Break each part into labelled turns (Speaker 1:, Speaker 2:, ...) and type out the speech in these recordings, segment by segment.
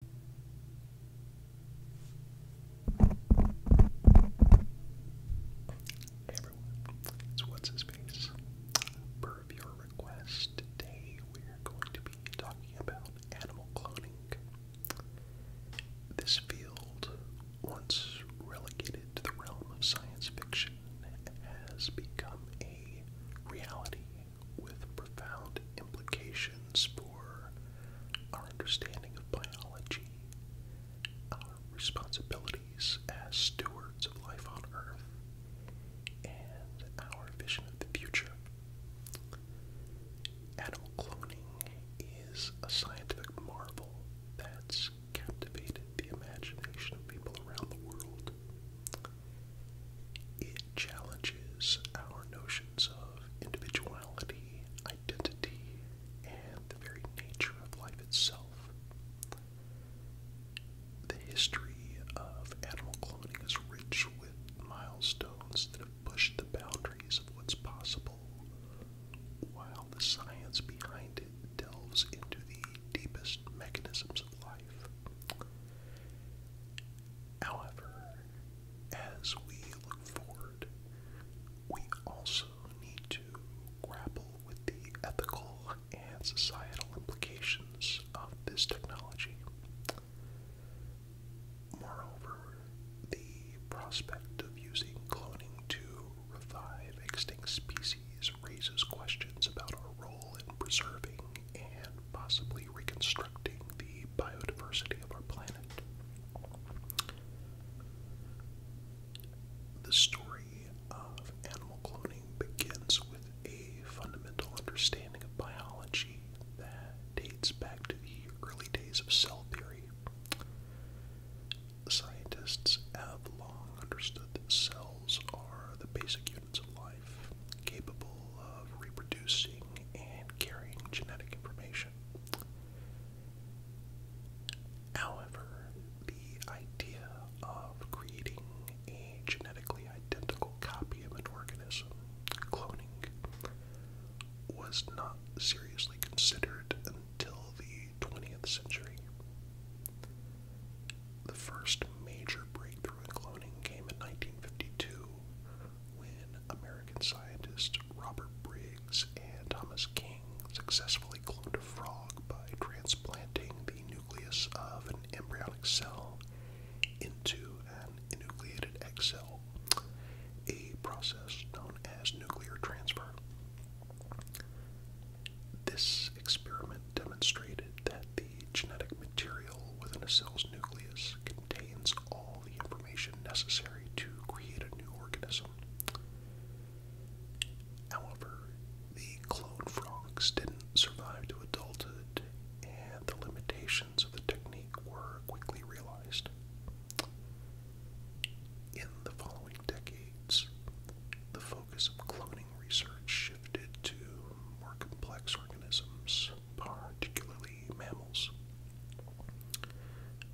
Speaker 1: Hey everyone, it's What's His Face. Per your request, today we're going to be talking about animal cloning. This field, once relegated to the realm of science fiction, has become a reality with profound implications for our understanding of biology, our responsibilities as stewards of life on Earth, and our vision of the future. Animal cloning is a scientific marvel that's captivated the imagination of people around the world. It challenges our notions of individuality, identity, and the very nature of life itself. The history of animal cloning is rich with milestones that have pushed the boundaries of what's possible, while the science behind it delves into the deepest mechanisms of life. However, as we look forward, we also need to grapple with the ethical and societal implications of this technology. Moreover, the prospect of using cloning to revive extinct species raises questions about our role in preserving and possibly reconstructing the biodiversity of our planet. The story of animal cloning begins with a fundamental understanding of biology that dates back to the early days of cell theory. Scientists have long understood that cells are the basic units of life, capable of reproducing and carrying genetic information. However, the idea of creating a genetically identical copy of an organism, cloning, was not seriously considered until the 20th century. The first major breakthrough in cloning came in 1952 when American scientists Robert Briggs and Thomas King successfully cloned a frog by transplanting the nucleus of an embryonic cell into an enucleated egg cell, a process known as nuclear transfer. This experiment demonstrated that the genetic material within a cell's nucleus contains all the information necessary to create a new organism. However, the clone frogs didn't survive to adulthood, and the limitations of the technique were quickly realized. In the following decades, the focus of cloning research shifted to more complex organisms particularly mammals.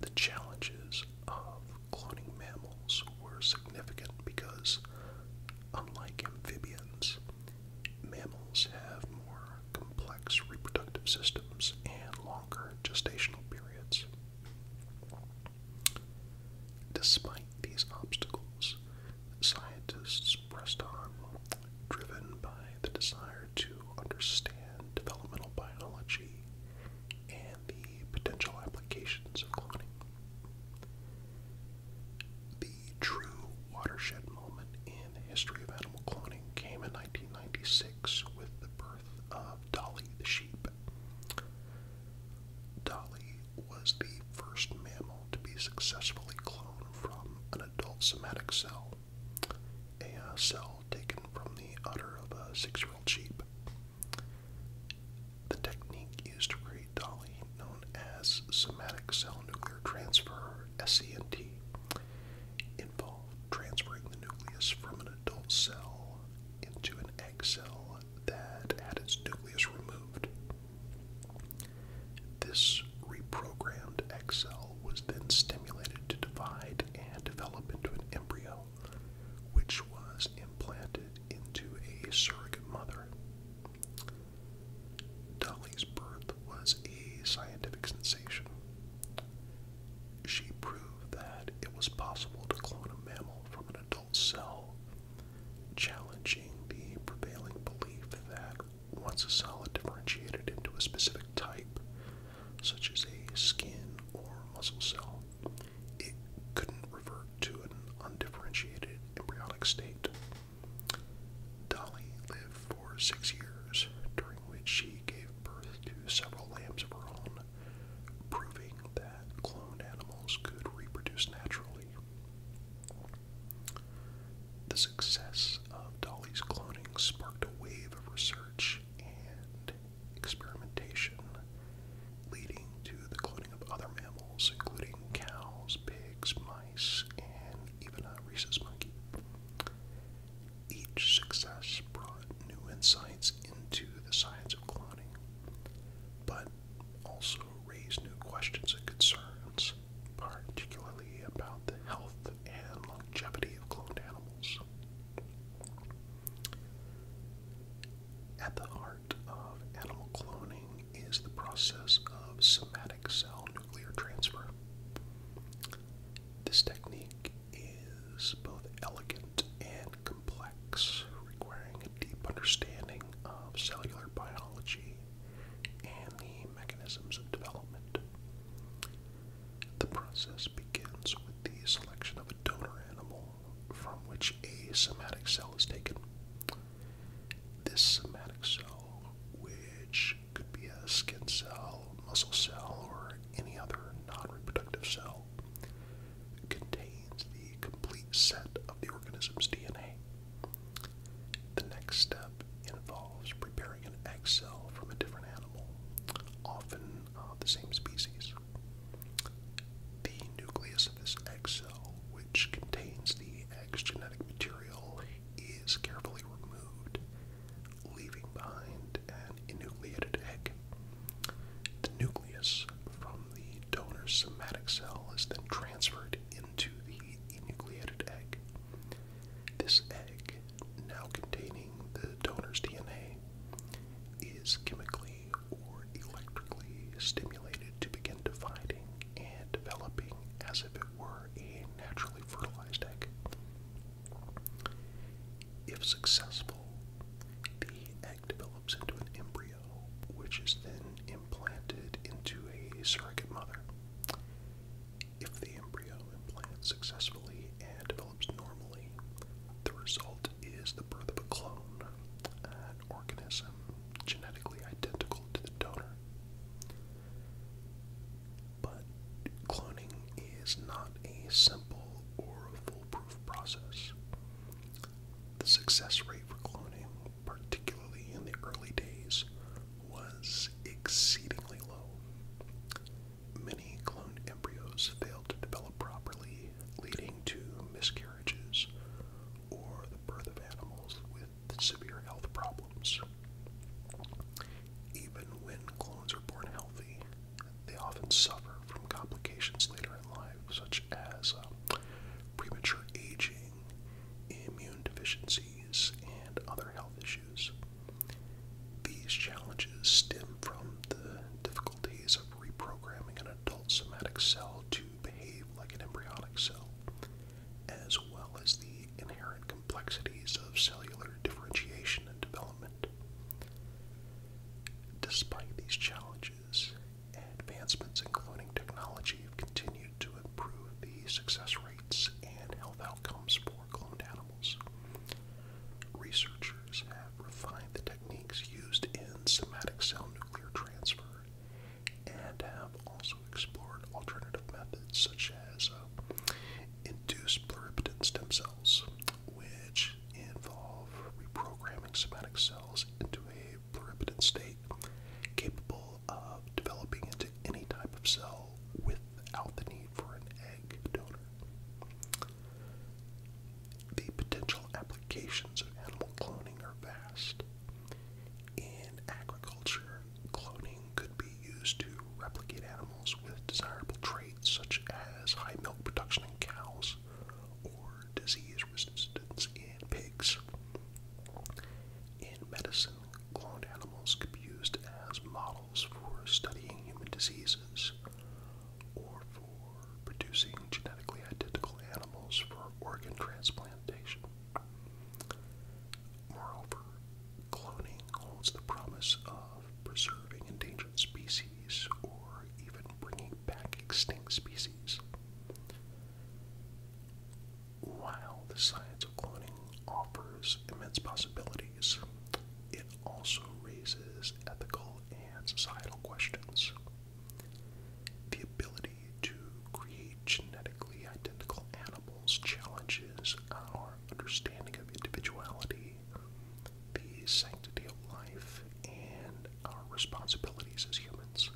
Speaker 1: The challenges of cloning mammals were significant because, unlike amphibians, mammals have more complex reproductive systems and longer gestational periods. Despite these obstacles, scientists pressed on, driven by the desire to understand developmental biology and the potential applications of cloning. The true watershed moment in the history of animal cloning came in 1996 with the birth of Dolly the sheep. Dolly was the first mammal to be successfully cloned from an adult somatic cell a uh, cell taken from the udder of a six year old sheep. The technique used to create Dolly, known as somatic cell nuclear transfer, SCNT, involved transferring the nucleus from an adult cell into an egg cell that had its nucleus removed. This reprogrammed egg cell was then stimulated to divide and develop into an embryo, which was implanted into a surrogate mother. Dolly's birth was a scientific sensation. She proved that it was possible to clone a mammal from an adult cell, challenging the prevailing belief that once a solid differentiated into a specific type, such as a skin or muscle cell, it couldn't revert to an undifferentiated embryonic state. Dolly lived for six years, during which she gave birth to several lambs of her own, proving that cloned animals could reproduce naturally success of Dolly's cloning sparked a wave of research and experimentation, leading to the cloning of other mammals, including cows, pigs, mice, and even a rhesus monkey. Each success brought new insights into the science of cloning, but also raised new questions and concerns, particularly about the health and longevity of cloned animals. At the heart of animal cloning is the process of somatic cell nuclear transfer. This technique is both elegant and complex, requiring a deep understanding of cellular biology and the mechanisms of development. The process begins with the selection of a donor animal from which a somatic cell is taken. This somatic cell, which could be a skin cell, muscle cell, or any other non reproductive cell, contains the complete set of the organism's DNA. The next step involves preparing an egg cell from a different animal, often uh, the same species. The nucleus of this egg cell, which contains the egg's genetic material, is carefully removed, leaving behind an enucleated egg. The nucleus from the donor somatic cell is then transferred into the enucleated egg. This egg now containing the donor's DNA, is chemically or electrically stimulated to begin dividing and developing as if it were a naturally fertilized egg. If successful, the egg develops into an embryo, which is then implanted into a surrogate mother. If the embryo implants successfully and develops normally, the result is the birth of a clone, an organism genetically identical to the donor. But cloning is not a simple or foolproof process. The success rate for cloning, particularly in the early days, was exceedingly low. Many cloned embryos fail to develop properly, leading to miscarriages or the birth of animals with severe health problems. Even when clones are born healthy, they often suffer from complications later in life, such as uh, premature aging, immune deficiencies, and other health issues. These challenges stem from the difficulties of reprogramming an adult somatic cell to behave like an embryonic cell, as well as the inherent complexities of cellular differentiation and development. Despite these challenges, advancements in cloning technology have continued to improve the success rates and health outcomes for cloned animals. Researchers have refined the techniques used in somatic cell nuclear transfer and have also explored alternative methods such as uh, induced pluripotent stem cells, which involve reprogramming somatic cells into a pluripotent state capable of developing into any type of cell without the need for an egg donor. The potential applications of animal cloning are vast. In agriculture, cloning could be used to replicate animals with desirable traits such as high milk production in cows or disease resistance in pigs. In medicine, cloned animals could be used as models for studying human diseases or for producing genetically identical animals for organ transplantation. Moreover, cloning holds the promise of preserving endangered species or even bringing back extinct species. While the science of cloning offers immense possibilities, it also raises ethical and societal questions. The ability to create genetically identical animals challenges our understanding of individuality, the sanctity of life, and our responsibilities as humans.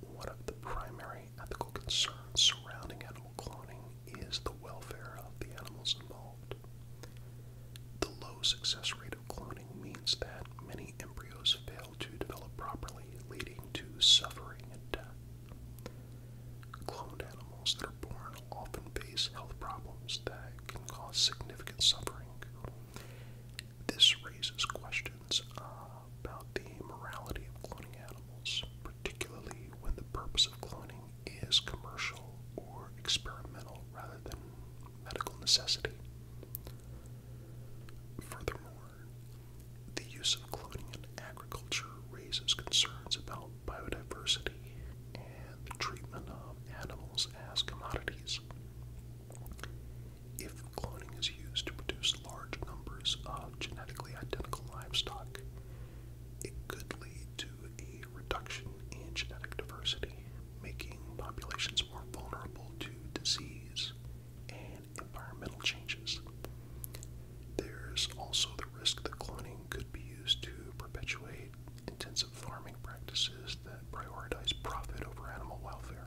Speaker 1: One of the primary ethical concern surrounding animal cloning is the welfare of the animals involved. The low success rate of cloning means that many embryos fail to develop properly, leading to suffering and death. Cloned animals that are born often face health problems that can cause significant suffering. This raises questions about the morality of cloning animals, particularly when the purpose of cloning is commercial or experimental rather than medical necessity. Furthermore, the use of cloning in agriculture raises concerns about biodiversity and the treatment of animals as commodities. If cloning is used to produce large numbers of genetically identical livestock, it could lead to a reduction in genetic diversity, making populations more vulnerable to disease and environmental changes. There's also the risk that cloning could be used to perpetuate intensive farming practices that prioritize profit over animal welfare.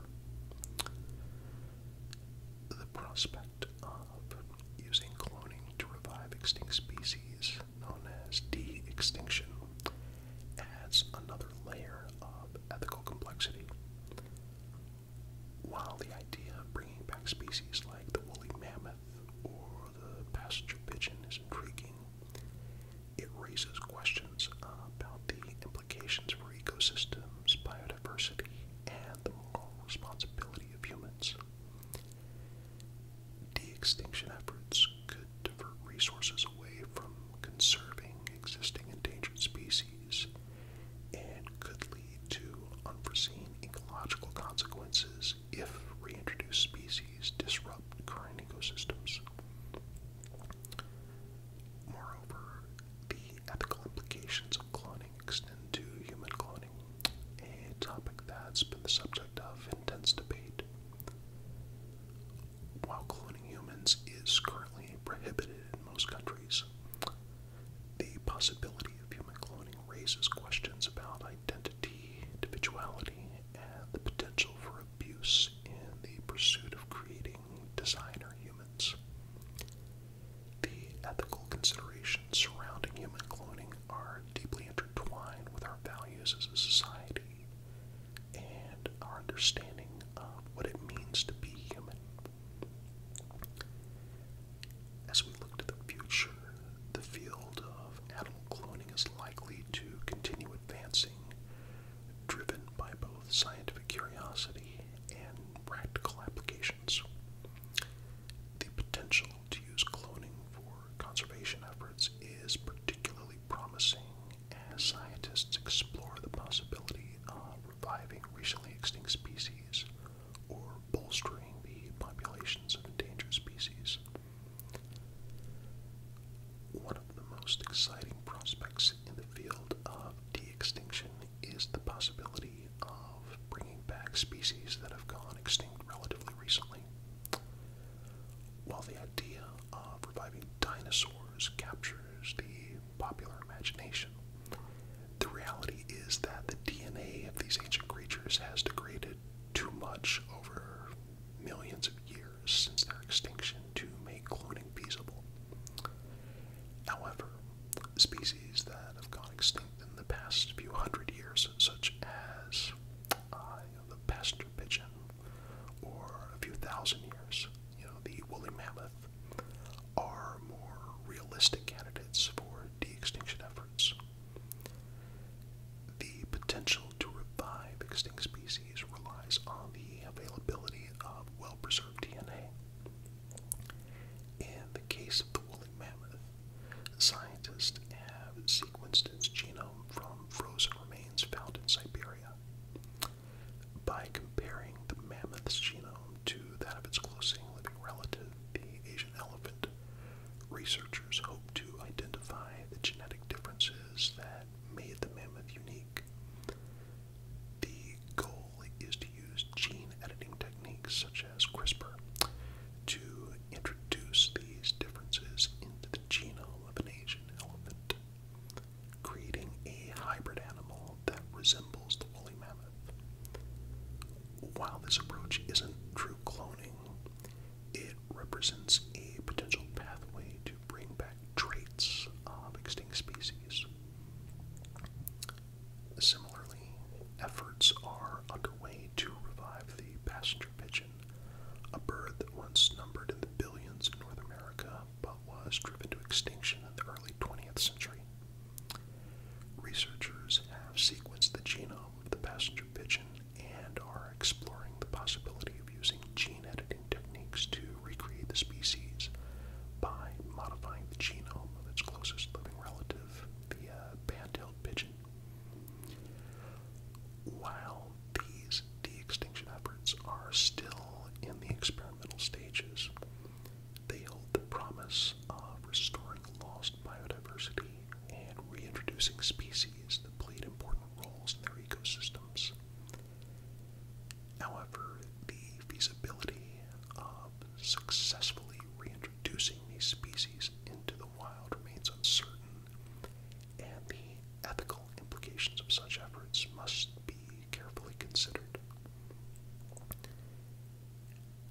Speaker 1: The prospect of using cloning to revive extinct species known as de extinction adds another layer of ethical complexity. While the idea of bringing back species like the woolly mammoth or the passenger pigeon is intriguing, it raises questions about the implications for ecosystems, biodiversity, and the moral responsibility of humans. De extinction efforts could divert resources away from conserving existing endangered species and could lead to unforeseen ecological consequences if reintroduced species disrupt current ecosystems. Moreover, the ethical implications of cloning extend to human cloning, a topic that's been the subject of intense debate. While cloning humans is currently prohibited in most countries, the possibility of human cloning raises questions about identity, individuality, and the potential for abuse in the pursuit of creating designer humans. The ethical considerations surrounding human cloning are deeply intertwined with our values as a society and our understanding of what it means to be human. As we look to the future, the field of animal cloning is likely to continue advancing, driven by both scientific curiosity and practical applications. The potential to use cloning for conservation efforts is particularly promising as scientists explore the possibility of reviving recently extinct species or bolstering the populations of endangered species. One of the most exciting prospects in the field of de extinction is the possibility of bringing back species that have gone extinct relatively recently. While the idea of reviving dinosaurs captures the popular imagination, the reality is that the DNA of these ancient creatures has degraded too much over millions of years since their extinction to make cloning feasible. However, species that have gone extinct in the past few hundred years, such as uh, the passenger pigeon, or a few thousand years, you know, the woolly mammoth, are more realistic candidates for de-extinction efforts. The potential to revive extinct species relies on the availability of well-preserved DNA. In the case of the woolly mammoth, scientists have sequenced its genome from frozen remains found in Siberia. By comparing the mammoth's genome to that of its closing living relative, the Asian elephant, researchers hope to identify the genetic differences that made the mammoth unique. The goal is to use gene editing techniques such as CRISPR to introduce these differences into the genome of an Asian elephant, creating a hybrid animal that resembles the woolly mammoth. While this approach isn't true cloning, it represents a potential pathway to bring back traits of extinct species. Similarly, efforts are underway to revive the passenger pigeon, a bird that once numbered in the billions in North America but was driven to extinction in the early 20th century. Researchers have sequenced the genome of the passenger pigeon and are exploring the possibility of using gene editing techniques to recreate the species by modifying the genome of its closest living relative the uh, band-tailed pigeon. While these de-extinction efforts are still in the experimental stages, they hold the promise of restoring lost biodiversity and reintroducing species that played important roles in their ecosystems. However, the feasibility of successfully reintroducing introducing these species into the wild remains uncertain, and the ethical implications of such efforts must be carefully considered.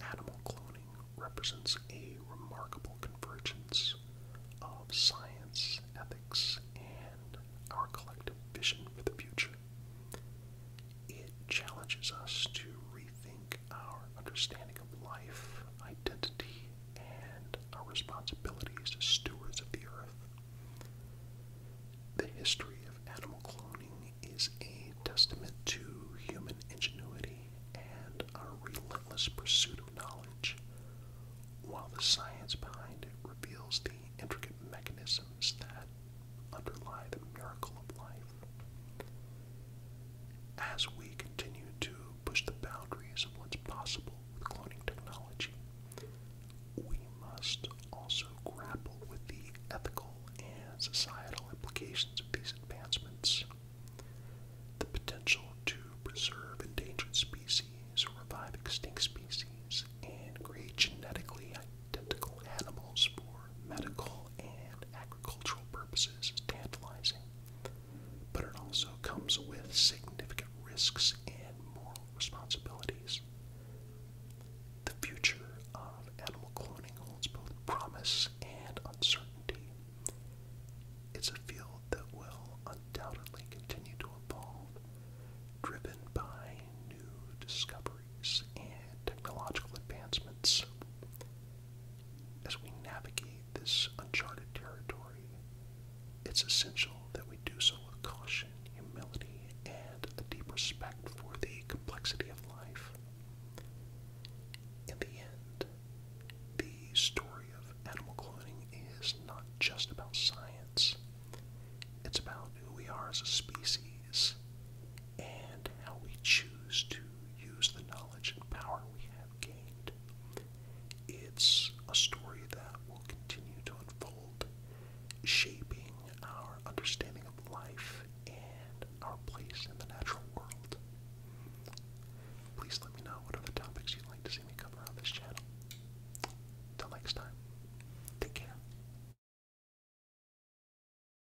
Speaker 1: Animal cloning represents a remarkable convergence of science, ethics, and our collective vision for the future it challenges us to rethink our understanding of life, identity, and our responsibilities as stewards of the earth. The history of animal cloning is a testament to human ingenuity and our relentless pursuit of knowledge, while the science behind it reveals the intricate mechanisms that underlie the miracle of life. As we continue to push the boundaries of what's possible with cloning technology, we must also grapple with the ethical and societal implications of these advancements. The potential to preserve endangered species, revive extinct species, and create genetically identical animals for medical and Cultural purposes is tantalizing, but it also comes with significant risks and moral responsibilities. The future of animal cloning holds both promise and uncertainty. It's a field that will undoubtedly continue to evolve, driven by new discoveries and technological advancements as we navigate this uncharted territory. It's essential that we do so with caution, humility, and a deep respect for the complexity of life. In the end, the story of animal cloning is not just about science, it's about who we are as a species and how we choose to use the knowledge and power we have gained. It's a story that will continue to unfold, shaping our understanding of life and our place in the natural world. Please let me know what other topics you'd like to see me cover on this channel. Till next time, take care.